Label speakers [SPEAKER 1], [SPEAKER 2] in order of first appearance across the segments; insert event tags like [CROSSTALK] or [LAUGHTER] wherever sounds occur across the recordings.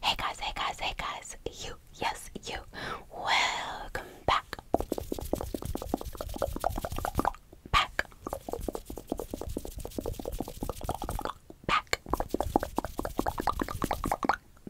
[SPEAKER 1] Hey guys, hey guys, hey guys, you, yes, you, welcome back. Back. Back.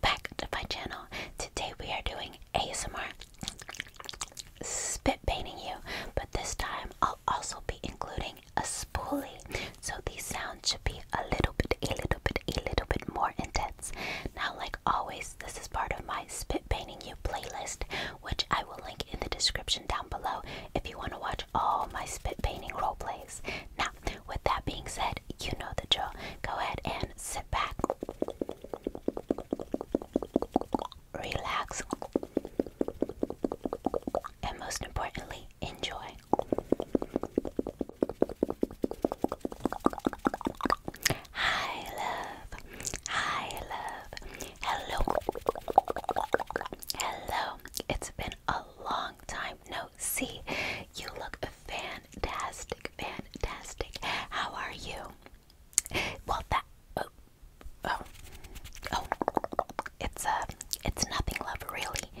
[SPEAKER 1] Back to my channel. Today we are doing ASMR spit painting you, but this time I'll also be including a spoolie. So these sounds should be a little bit, a little bit, a little bit more intense. Now, like always, this is part of my Spit Painting You playlist, which I will link in the description down below if you want to watch all my spit painting role plays. Now, with that being said, you know the drill. Go ahead and sit back, relax, and most importantly, enjoy. Hi, love. Hi, love. Hello. Hello. It's been a long time. No, see, you look fantastic. Fantastic. How are you? Well, that. Oh, Oh, oh, it's a, uh, it's nothing, love, really.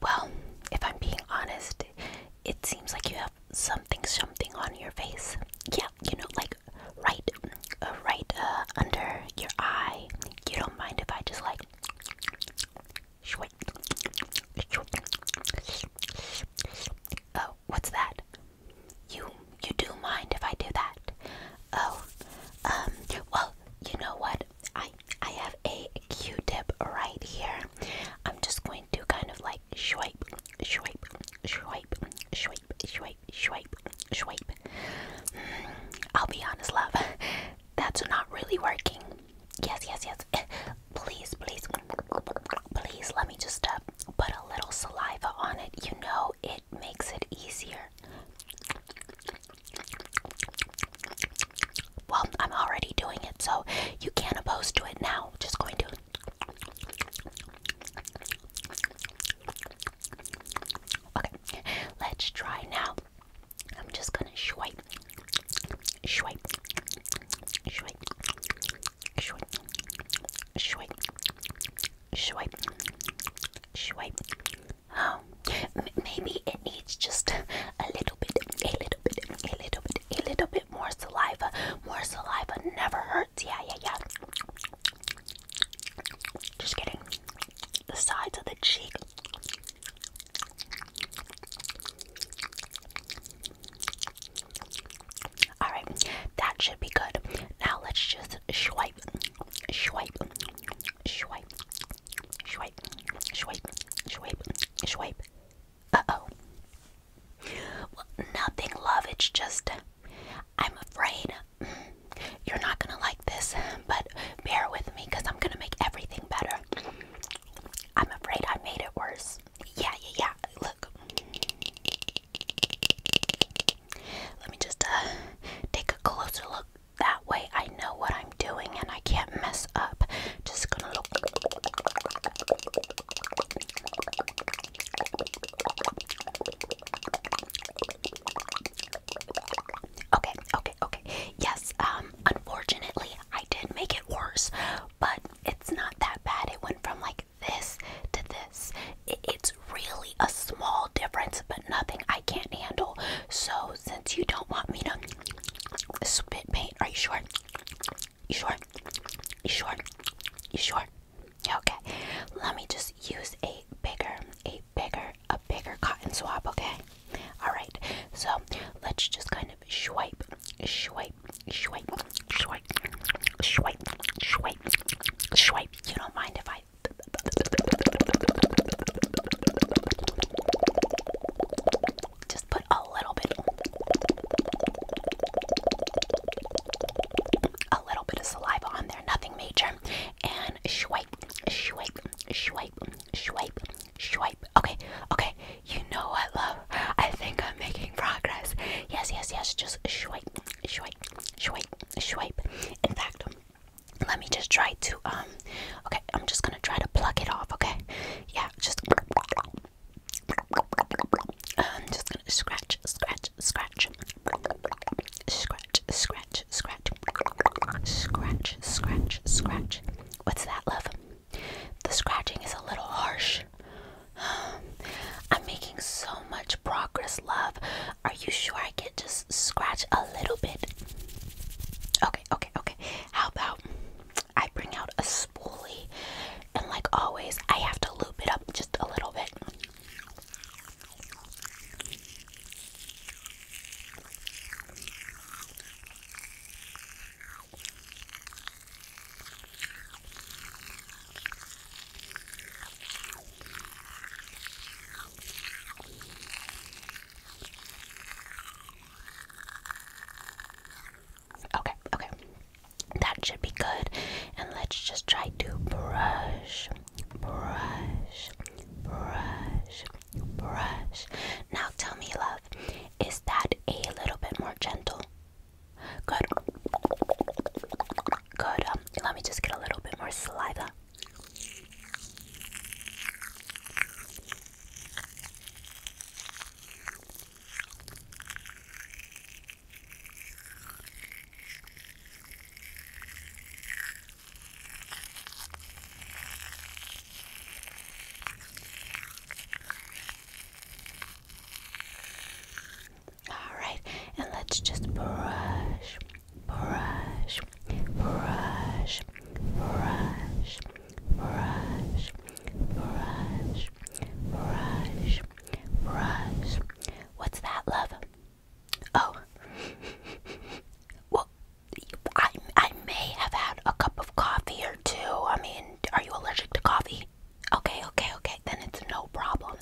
[SPEAKER 1] Well, if I'm being honest, it seems like you have something, something on your face. Yeah, you know, like right, uh, right uh, under your eye. You don't mind if I just like. Oh, what's that? You you do mind if I do that? Oh, um, well, you know what? I I have a Q-tip right here. I'm just going to kind of like swipe, swipe, swipe, swipe, swipe, swipe, swipe. Mm, I'll be honest, love. That's not really working. Yes, yes, yes. [LAUGHS] Please, please, please let me just uh, put a little saliva on it. You know, it makes it easier. Well, I'm already doing it, so you can't oppose to it now. Just going to. Okay, let's try now. I'm just gonna swipe, swipe, swipe, swipe, swipe, swipe, swipe, Oh, maybe it needs just a little bit, a little bit, a little bit, a little bit more saliva. More saliva never hurts. Yeah, yeah, yeah. Just getting the sides of the cheek. All right, that should be good. Now let's just swipe, swipe, Swipe, swipe, swipe, swipe, swipe. Uh oh. Well, nothing, love. It's just, I'm afraid you're not gonna like this, but bear with me because I'm gonna make everything better. I'm afraid I made it worse. Yeah, yeah, yeah. Look. Let me just uh, take a closer look that way I know what I'm doing and I can't mess up. Just gonna look. Okay, okay, okay. Yes, um, unfortunately, I did make it worse, but it's not that bad. It went from like this to this. It's really a small difference, but nothing I can't handle. So since you don't want me to spit paint, are you sure? You sure? You sure? You sure? Okay. Let me just use a bigger, a bigger, a bigger cotton swab, okay? Alright. So let's just kind of swipe, swipe, swipe, swipe, swipe, swipe, swipe. You don't mind if I just put a little bit, a little bit of saliva on there, nothing major, and swipe, swipe, swipe, swipe, swipe. Okay, okay. You know what, love? I think I'm making progress. Yes, yes, yes. Just swipe, swipe, swipe, swipe. In fact, let me just try to um okay i'm just gonna try to pluck it off okay yeah just i'm um, just gonna scratch scratch scratch scratch scratch scratch scratch scratch scratch what's that love the scratching is a little harsh i'm making so much progress love are you sure i can just scratch a little bit Okay, okay, okay. How about I bring out a spoolie and, like always, I have to loop it up just a little bit. Okay, okay. That should be good. And let's just try to brush, brush, brush, brush. Now tell me, love, is that a little bit more gentle? Good. Good. Um, let me just get a little bit more saliva. All right, and let's just brush, brush, brush, brush, brush, brush, brush, brush. What's that, love? Oh, well, I I may have had a cup of coffee or two. I mean, are you allergic to coffee? Okay, okay, okay. Then it's no problem.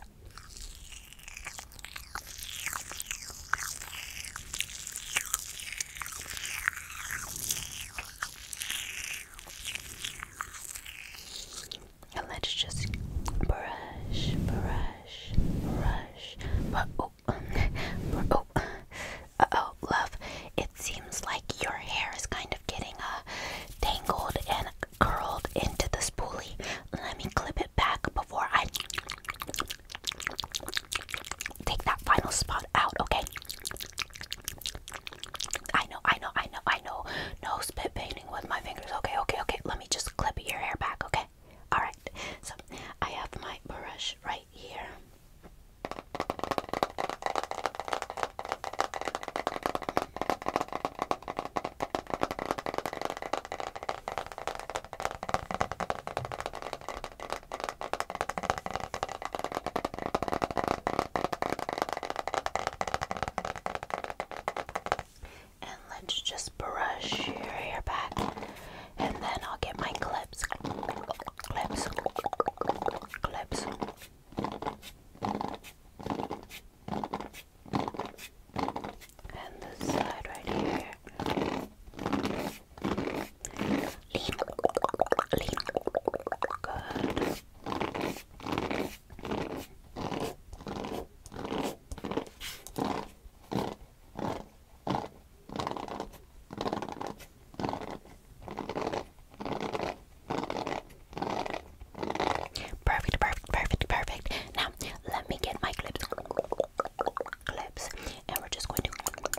[SPEAKER 1] And let's just brush, brush, brush. But oh, [LAUGHS] oh, oh, love. It seems like your hair is kind of getting uh tangled and curled into the spoolie. Let me clip it back before I take that final spot out, okay? I know, I know, I know, I know. No spit painting with my fingers. Okay, okay, okay. Let me just clip your hair back, okay? Alright, so I have my brush right here. And let's just brush your hair back, and then I'll get my clips. Clips. Clips. And this side right here. Lean, lean, good. Perfect, perfect, perfect, perfect. Now, let me get my clips clips and we're just going to clip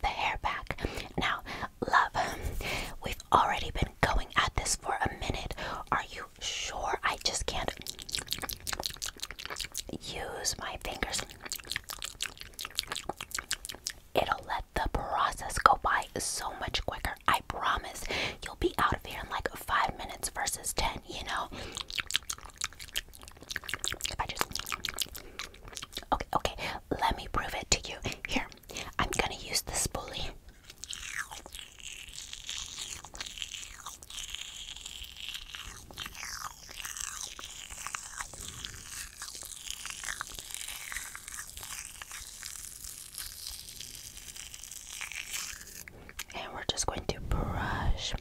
[SPEAKER 1] the hair back. Now, love, we We've already been going at this for a minute. Are you sure? I just can't use my fingers. It'll let the process go by so much quicker. I promise. You'll be out of here in like five minutes versus ten, you know? If I just. Okay, okay. Let me prove it to you. Here. I'm gonna use the spoolie. And we're just going to brush,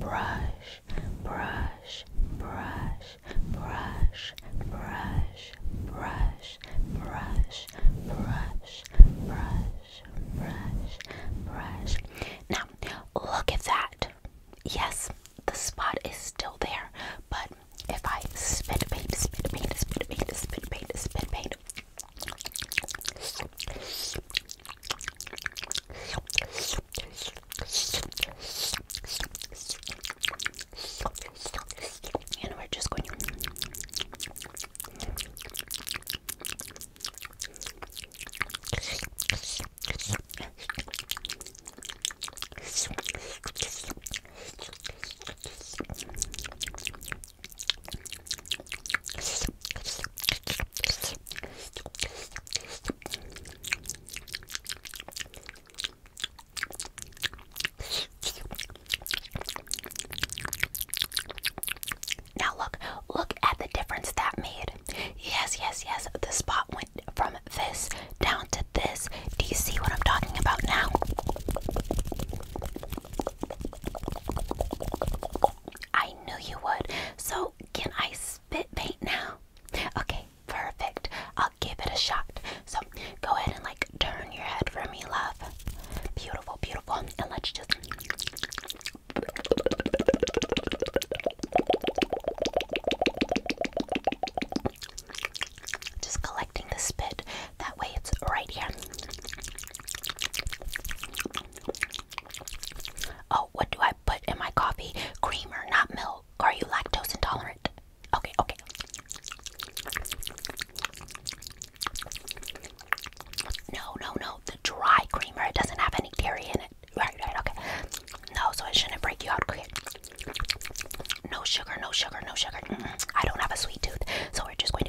[SPEAKER 1] brush, brush, brush, brush, brush, brush, brush, brush, brush, brush, brush. Now, look at that. Yes, the spot is still there, but if I spit paint, spit paint, spit paint, spit paint, spit paint and we're just going now look, look at the difference that made. Yes, yes, yes, the spot went from this down to this. Do you see what I'm talking about now? I knew you would. So, can I spit paint now? Okay, perfect. I'll give it a shot. So, go ahead and like turn your head for me, love. Beautiful, beautiful. And let's just. Just collecting the spit. That way it's right here. Oh, what do I put in my coffee? Creamer, not milk. Are you lactose intolerant? Okay, okay. No, no, no. The dry creamer. It doesn't have any dairy in it. Right, right, okay. No, so it shouldn't break you out. No sugar, no sugar, no sugar. I don't have a sweet tooth, so we're just going to.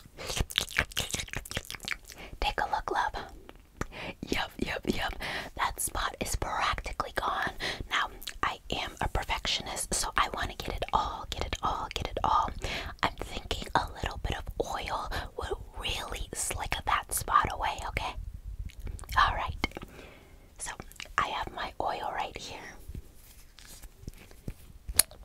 [SPEAKER 1] Take a look, love. Yup, yup, yup. That spot is practically gone. Now, I am a perfectionist, so I want to get it all, get it all, get it all. I'm thinking a little bit of oil would really slick that spot away, okay? Alright. So, I have my oil right here.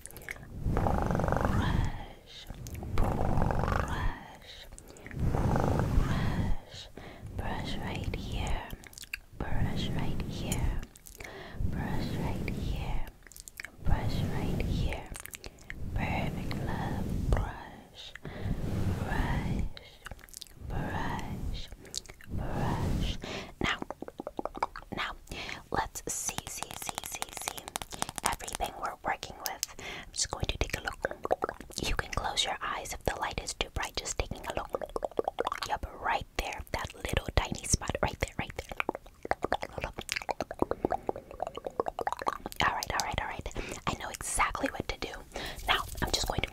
[SPEAKER 1] brush, brush, brush, brush right here, brush right here, brush right here, brush right here. Perfect love, brush, brush, brush, brush. Now, now, Let's see, see, see, see, see. Everything we're working with. I'm just going to take a look. You can close your eyes if the light is too bright. Just taking a look. Yep, right there. That little tiny spot. Right there, right there. Alright, alright, alright. I know exactly what to do. Now, I'm just going to.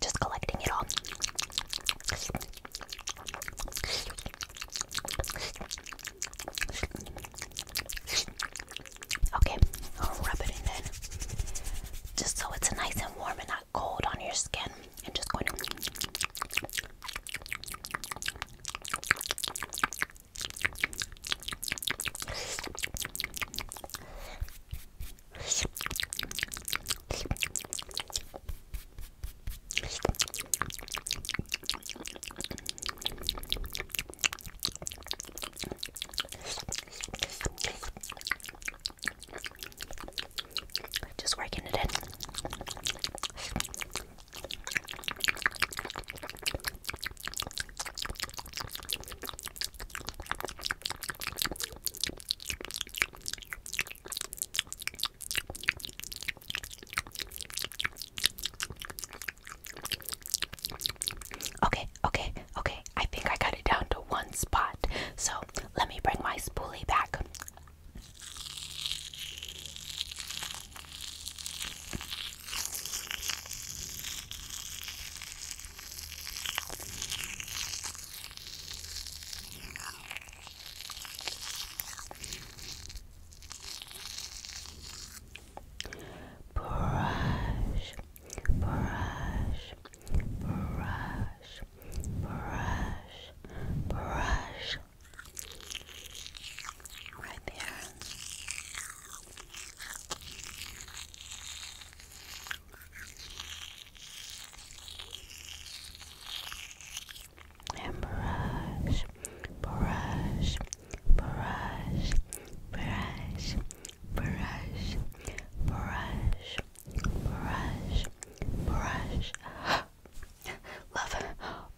[SPEAKER 1] Just collecting it all. Okay, i it in then. Just so it's nice and warm and not cold on your skin. And just going to. Just working it in. Okay, okay, okay. I think I got it down to one spot. So let me bring my spoolie back brush, brush, brush, brush, brush. Right there. And brush, brush, brush, brush, brush, brush, brush, brush. [GASPS] Love,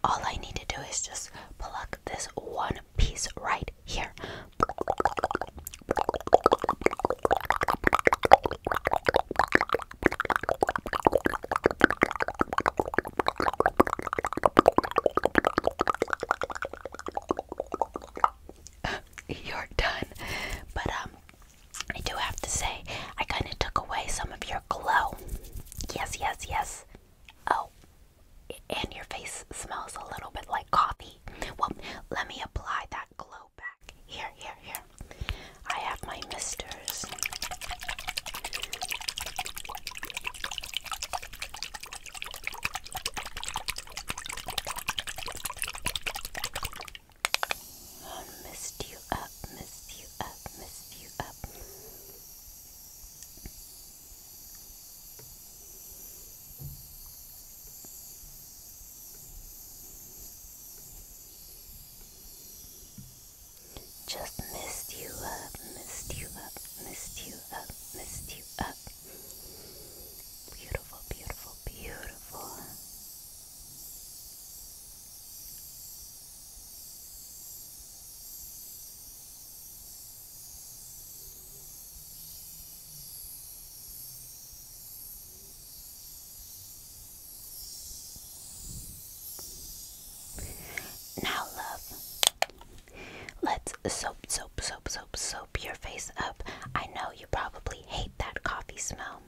[SPEAKER 1] all I need to do is just pluck this one piece right here. [LAUGHS] you're done. But um, I do have to say, I kind of took away some of your glow. Yes, yes, yes. Oh, and your face smells a little bit like coffee. Well, let me apply that glow back. Here, here, here. I have my misters. Oh, missed you up, missed you up, missed you up. Just missed you up, missed you up, missed you up, lift you up. Beautiful, beautiful, beautiful. Now, love, Let's soap, soap, soap, soap, soap your face up. I know you probably hate that coffee smell.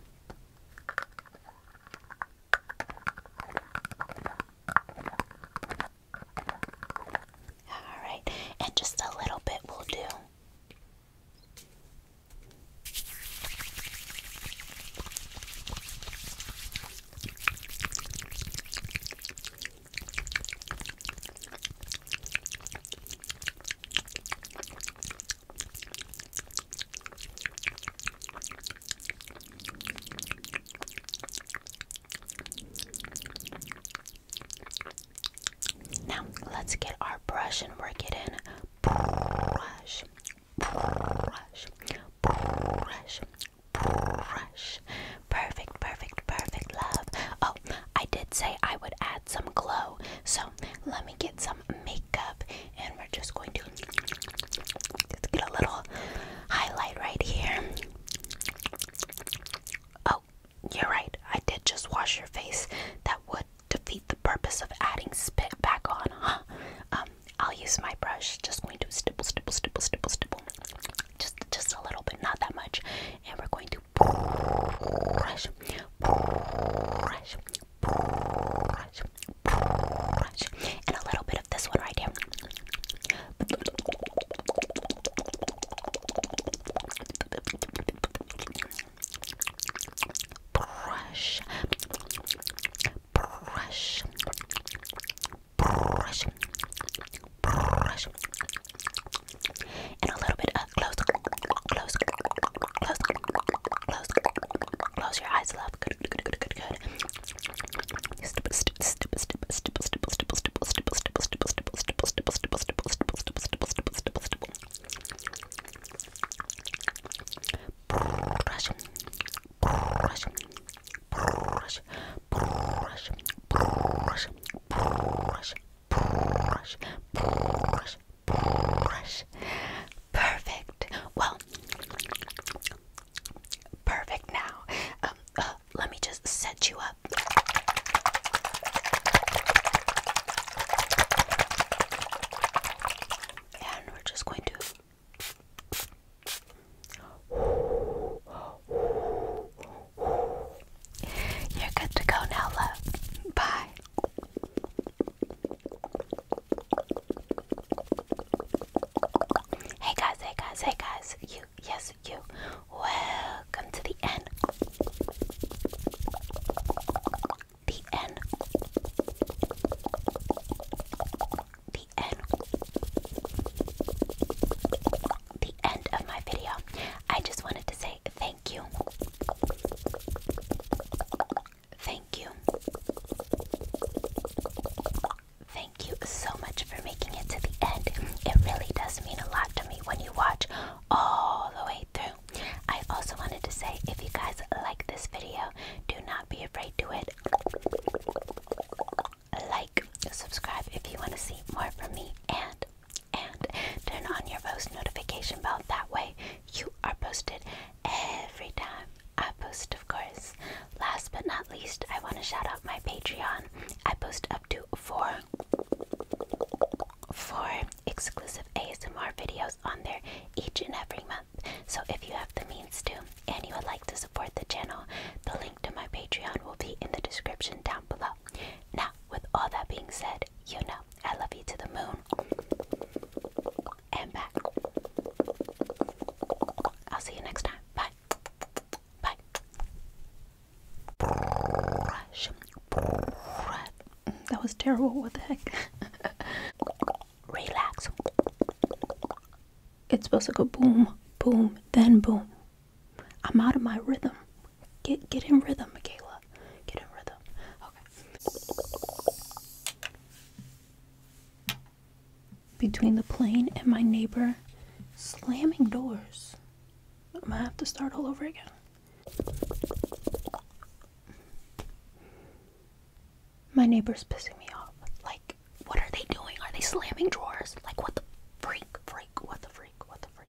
[SPEAKER 1] Alright, and just a little bit will do. Now, let's get our brush and work it in. Brush, brush, brush, brush. Perfect, perfect, perfect love. Oh, I did say I would add some glow. So let me get some makeup and we're just going to just get a little highlight right here. Oh, you're right. I did just wash your face. That would defeat the purpose of adding spit back on, Um, I'll use my brush. Just going to stipple, stipple, stipple, stipple, stipple. Just, just a little bit, not that much. And we're going to brush, brush, brush, brush, and a little bit of this one right here. Brush, brush, brush, brush, brush, and a little bit of close, close, close, close, close your eyes, love. Good, good, good, good, good. Stipple, stipple, stipple, stipple, stipple, stipple, stipple, stipple, stipple, stipple, stipple, stipple, stipple, stipple, stipple, stipple, stipple, stipple, stipple, stipple. Brush, brush, brush, brush, brush, brush brush, brush, brush. Perfect. Well, perfect now. Um, uh, let me just set you up. And we're just going to. You're good to go now, love. Bye. Hey guys, hey guys, hey guys. You, yes, you. Welcome to the end. The end. The end the end of my video. I just wanted to say thank you. Thank you. Thank you so much for making it to the end. It really does mean a lot to me when you watch all the way through. I also wanted to say if you guys like this video, do not be afraid to it. Like, subscribe if you want to see more from me, and and turn on your post notification bell. That way, you are posted every time I post, of course. Last but not least, I want to shout out my Patreon. I post up to four, four exclusive ASMR videos on there each and every month. So if you have the means to and you would like to support the channel, the link to my Patreon will be in the description down below. Now, with all that being said, you know I love you to the moon and back. I'll see you next time. Bye. Bye. Mm, that was terrible. What the heck? [LAUGHS] Relax. It's supposed to go boom, boom, then boom. I'm out of my rhythm. Get get in rhythm, Michaela. Get in rhythm. Okay. Between the plane and my neighbor slamming doors. I'm gonna have to start all over again. My neighbor's pissing me off. Like, what are they doing? Are they slamming drawers? Like, what the freak, freak, what the freak, what the freak?